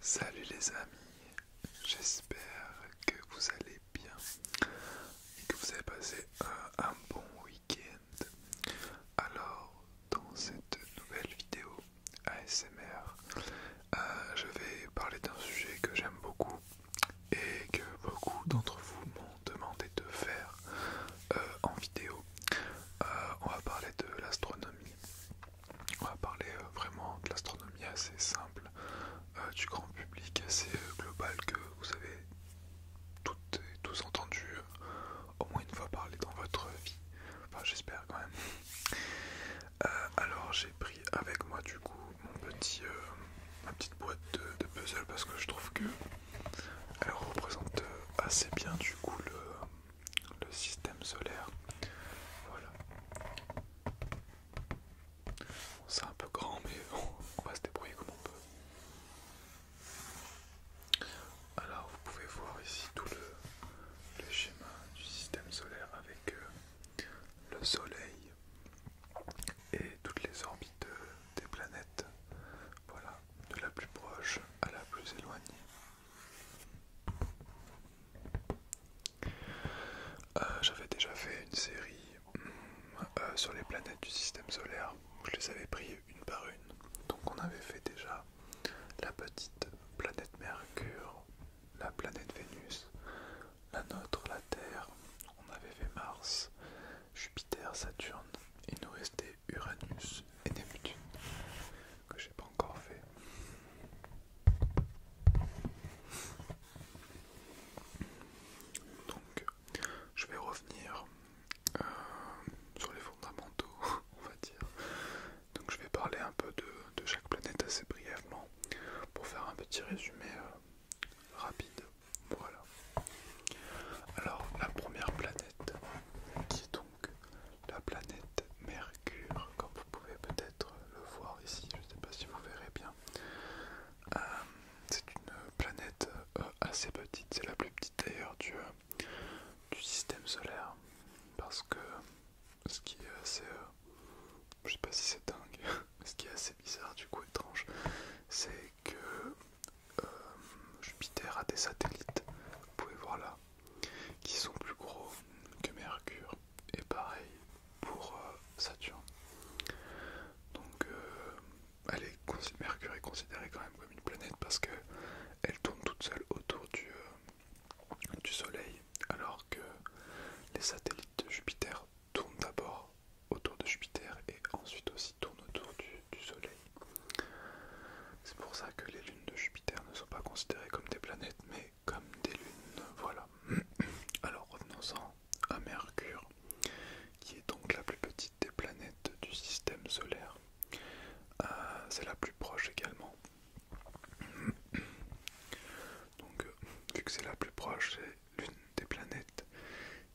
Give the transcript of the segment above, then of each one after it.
Salut les amis, j'espère que vous allez bien et que vous avez passé un, bon week-end. Alors, dans cette nouvelle vidéo ASMR, euh, je vais parler d'un sujet que j'aime beaucoup et que beaucoup d'entre vous m'ont demandé de faire euh, en vidéo. Euh, on va parler de l'astronomie. On va parler euh, vraiment de l'astronomie assez simple, euh, du grand public assez euh, global que vous avez toutes et tous entendu au moins une fois parler dans votre vie. Enfin, j'espère quand même. alors, j'ai pris avec moi du coup mon petit, ma petite boîte de, puzzle parce que je trouve que elle représente assez bien du coup le le système solaire. Voilà. c'est un peu grand, mais on va se débrouiller comme on peut. Alors, vous pouvez voir ici tout le, schéma du système solaire avec euh, le Soleil et toutes les orbites euh, des planètes. Voilà, de la plus proche à la plus éloignée. Euh, j'avais déjà fait une série hmm, euh, sur les planètes du système solaire, je les avais pris une par une. Donc on avait fait déjà la petite planète Mercure, la planète Vénus, la nôtre, la Terre, on avait fait Mars, Jupiter, Saturne, il nous restait Uranus et Neptune que j'ai pas encore fait. Donc, je vais revenir euh, sur les fondamentaux, on va dire. Donc, je vais parler un peu de, chaque planète assez brièvement pour faire un petit résumé euh, rapide. Voilà. Alors, la première planète qui est donc la planète Mercure, comme vous pouvez peut-être le voir ici, je ne sais pas si vous verrez bien. Euh, c'est une planète euh, assez petite, c'est la plus petite d'ailleurs du, système solaire, parce que ce qui est assez... Euh, je sais pas si c'est dingue, mais ce qui est assez bizarre du coup étrange, c'est que Jupiter a des satellites, vous pouvez voir là, qui sont plus gros que Mercure et pareil pour euh, Saturne. Donc euh, Mercure est considérée quand même comme une planète parce que elle tourne toute seule autour euh, du, Soleil alors que les satellites de Jupiter tournent d'abord autour de Jupiter et ensuite aussi tournent autour du, du Soleil. C'est pour ça que les lunes de Jupiter ne sont pas considérées comme des planètes mais comme des lunes. Voilà. Alors revenons-en à Mercure, qui est donc la plus petite des planètes du système solaire. Euh, c'est la plus proche également. Donc, euh, vu que c'est la plus proche, c'est l'une des planètes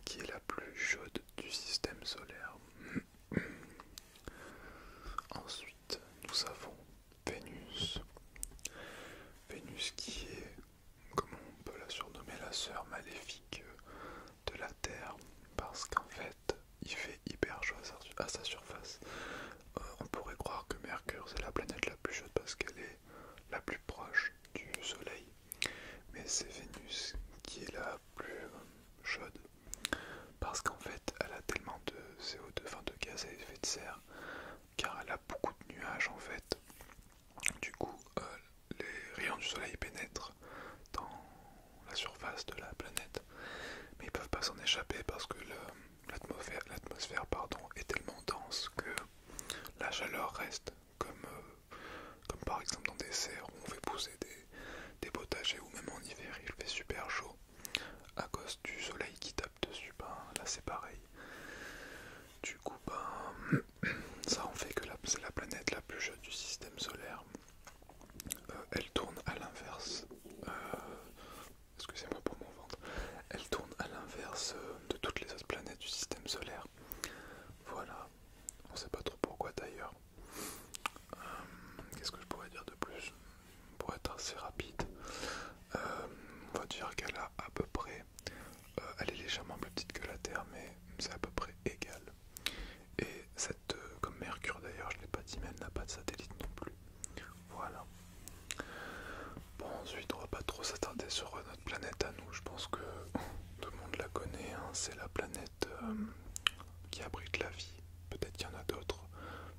qui est la plus chaude du système solaire. Ensuite, nous avons Vénus. Vénus qui est, comment on peut la surnommer, la sœur maléfique de la Terre, parce qu'en fait, il fait hyper chaud à sa surface. Euh, on pourrait croire que Mercure, c'est la planète la plus chaude parce qu'elle est la plus proche du Soleil, mais c'est Vénus qui est la plus chaude parce qu'en fait elle a tellement de CO2, de gaz à effet de serre, car elle a beaucoup de nuages en fait. Du coup, euh, les rayons du soleil pénètrent dans la surface de la planète, mais ils peuvent pas s'en échapper parce que l'atmosphère est tellement dense que la chaleur reste, euh, comme, par exemple dans des serres où on fait pousser des, des potagers ou même en hiver il fait super chaud à cause du soleil qui tape dessus, ben, là c'est pareil. Du coup, ben, ça en fait que c'est la planète la plus jeune du système solaire. Euh, elle tourne à l'inverse. Euh, excusez-moi pour mon ventre. Elle tourne à l'inverse euh, de toutes les autres planètes du système solaire. Voilà. On sait pas trop pourquoi d'ailleurs. Qu'est-ce que je pourrais dire de plus pour être assez rapide. Euh, on va dire qu'elle a à peu près, euh, elle est légèrement plus petite que la Terre, mais c'est à peu près égal. Et cette, euh, comme Mercure d'ailleurs, je ne l'ai pas dit, mais elle n'a pas de satellite non plus. Voilà. Bon, ensuite, on va pas trop s'attarder sur notre planète à nous. Je pense que tout le monde la connaît. Hein. C'est la planète qui abrite la vie. Peut-être qu'il y en a d'autres.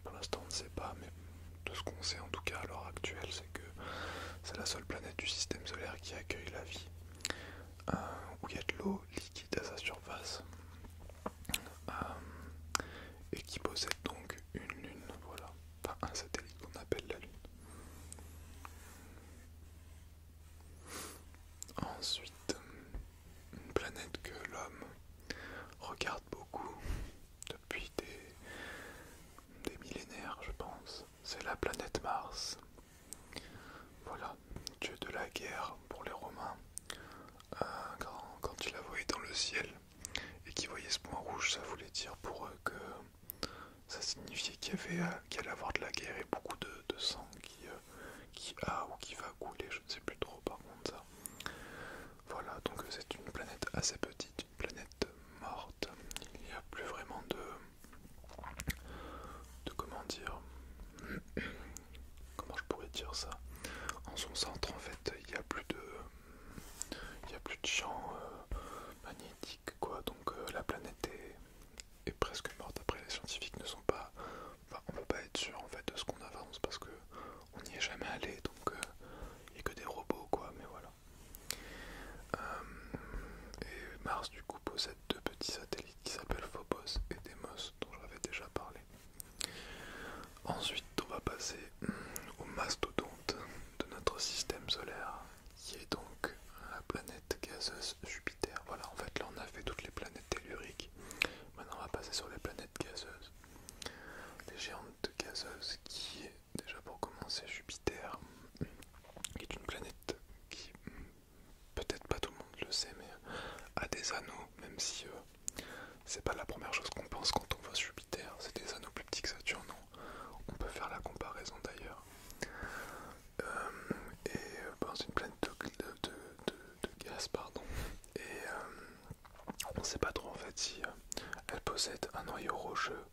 Pour l'instant, on ne sait pas, mais de ce qu'on sait en tout cas à l'heure actuelle, c'est que c'est la seule planète du système solaire qui accueille la vie, euh, où il y a de l'eau liquide à sa surface, euh, et qui possède donc une lune, voilà, enfin un satellite qu'on appelle la lune. Ensuite, une planète que l'homme regarde beaucoup depuis des, millénaires, je pense. C'est la planète Mars. Voilà, dieu de la guerre pour les Romains. Euh, quand, quand il la voyait dans le ciel et qui voyait ce point rouge, ça voulait dire pour eux que ça signifiait qu'il y avait euh, qu'il allait avoir de la guerre et beaucoup de, sang euh, qui, a ou qui va couler, je sais plus trop par contre ça. Voilà, donc euh, c'est une planète assez petite, une planète morte. Il n'y a plus vraiment de... de comment dire... comment je pourrais dire ça En son centre en fait, il n'y a plus de... il n'y a plus de champ euh, magnétiques magnétique quoi, donc euh, la planète est... presque morte. Après les scientifiques ne sont pas... on ne peut pas être sûr en fait de ce qu'on avance parce que on n'y est jamais allé donc euh, il n'y a que des robots quoi mais voilà euh, et Mars du coup possède deux petits satellites qui s'appellent Phobos et Deimos dont j'avais déjà parlé ensuite on va passer hmm, au mastodonte de notre système solaire qui est donc la planète gazeuse Jupiter voilà en fait là on a fait toutes les planètes telluriques maintenant on va passer sur les planètes gazeuses les géantes gazeuses qui, déjà pour commencer, Jupiter, qui est une planète qui, peut-être pas tout le monde le sait, mais a des anneaux, même si euh, c'est pas la première chose qu'on pense quand on voit Jupiter, c'est des anneaux plus petits que Saturne, on peut faire la comparaison d'ailleurs. Euh, et euh, ben, c'est une planète de, de, gaz, pardon. Et on ne sait pas trop en fait si euh, elle possède un noyau rocheux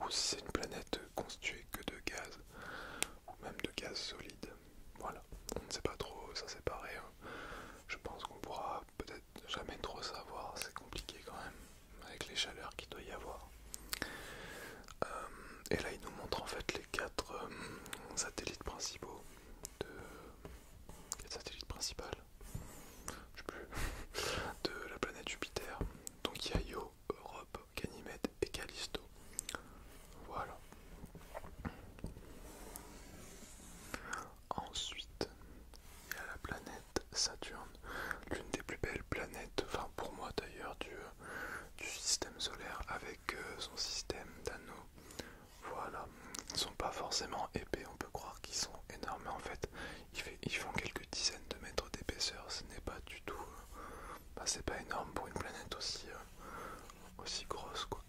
ou si c'est une planète constituée que de gaz ou même de gaz solide. Voilà, on ne sait pas trop, ça c'est pareil. Je pense qu'on pourra peut-être jamais trop savoir, c'est compliqué quand même avec les chaleurs qu'il doit y avoir. Euh, et là, il nous montre en fait les quatre euh, satellites principaux de satellite principal de la planète Jupiter. Donc il Europe, Ganymède et Callisto. Voilà. Ensuite, il y a la planète Saturne, l'une des plus belles planètes, enfin pour moi d'ailleurs, du, du système solaire avec euh, son système d'anneaux voilà, ils ne sont pas forcément épais, on peut croire qu'ils sont énormes, mais en fait ils, font quelques dizaines de mètres d'épaisseur, ce n'est pas du tout... Euh, bah, c'est pas énorme pour une planète euh, aussi, grosse, quoi.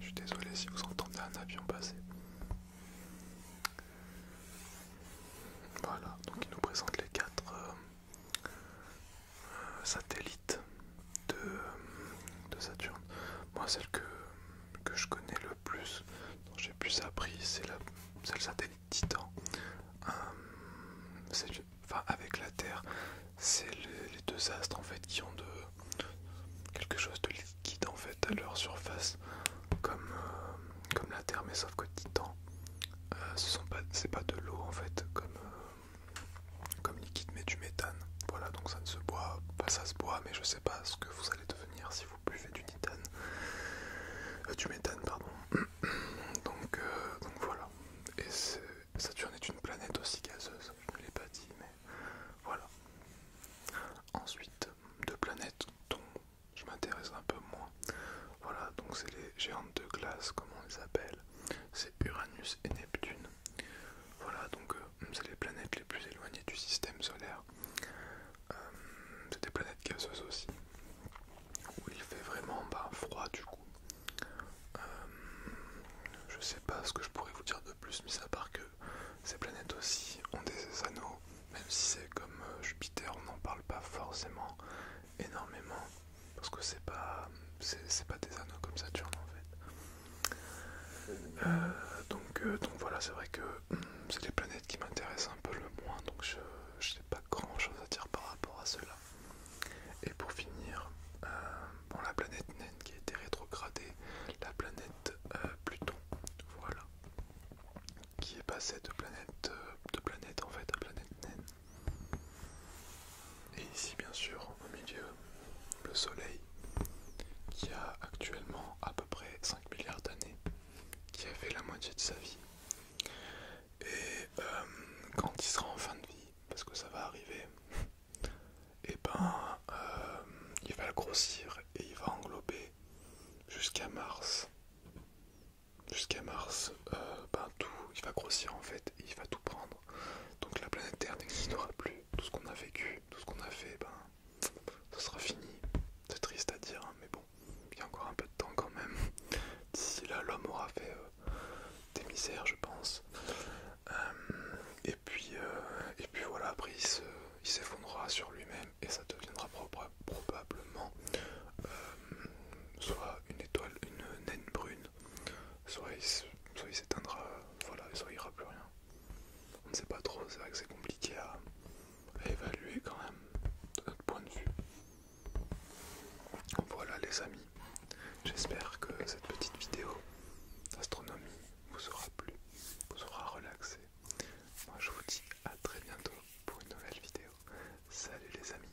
Je suis désolé si vous entendez un avion passer. Voilà, donc il nous présente les quatre, euh, satellite de, Saturne. Moi, celle que, je connais le plus, dont j'ai plus appris, c'est le satellite Titan. Euh, enfin, avec la Terre, c'est les, deux astres en fait qui ont de quelque chose de liquide en fait à leur surface, comme, euh, la Terre, mais sauf que Titan, euh, ce sont pas, c'est pas de l'eau en fait, comme comme liquide mais du méthane. Voilà donc ça ne se boit, pas ça se boit mais je sais pas ce que vous allez devenir si vous buvez du nitane. Euh, du méthane pardon. Euh, donc, voilà. Et Saturne est une planète aussi gazeuse, je ne l'ai pas dit mais voilà. Ensuite, deux planètes dont je m'intéresse un peu moins. Voilà, donc c'est les géantes de glace, comment on les appelle. Uranus et Neptune. Voilà, donc euh, c'est les planètes les plus éloignées du système solaire. Euh, c'est des planètes gazeuses aussi, où il fait vraiment bah, froid du coup. Je euh, je sais pas ce que je pourrais vous dire de plus, mais à part que ces planètes aussi ont des anneaux, même si c'est comme Jupiter, on n'en parle pas forcément, énormément parce que c'est pas c'est pas des anneaux comme Saturne en fait euh, donc, euh, donc voilà c'est vrai que hmm, c'est les planètes qui m'intéressent un peu le moins donc je, n'ai pas grand chose à dire par rapport à cela et pour finir euh, la planète naine qui a été rétrogradée la planète Pluton voilà qui est passée de planète de planète en fait à planète naine et ici bien sûr au milieu le Soleil qui a actuellement à peu près 5 milliards d'années, qui a fait la moitié de sa vie. Et euh, quand il sera en fin de vie, parce que ça va arriver, et eh ben euh, il va grossir et il va englober jusqu'à Mars. Jusqu'à Mars, euh, ben tout, il va grossir en fait, et il va tout prendre. Donc la planète Terre n'existera plus. Tout ce qu'on a vécu, tout ce qu'on a fait, ben, ça sera fini. C'est triste à dire, hein, mais bon, il y a encore un peu de temps quand même. D'ici là, l'homme aura fait euh, des misères, je pense. Euh, et, puis, euh, et puis voilà, après il s'effondrera sur lui-même et ça deviendra probablement soit une étoile, une naine brune, soit il, s'éteindra, voilà, soit il n'y aura plus rien. On ne sait pas trop, c'est vrai que c'est compliqué à, évaluer quand même, de notre point de vue. Voilà les amis, j'espère que cette petite vidéo d'astronomie vous aura plu, vous aura relaxé. Moi je vous dis à très bientôt pour une nouvelle vidéo. Salut les amis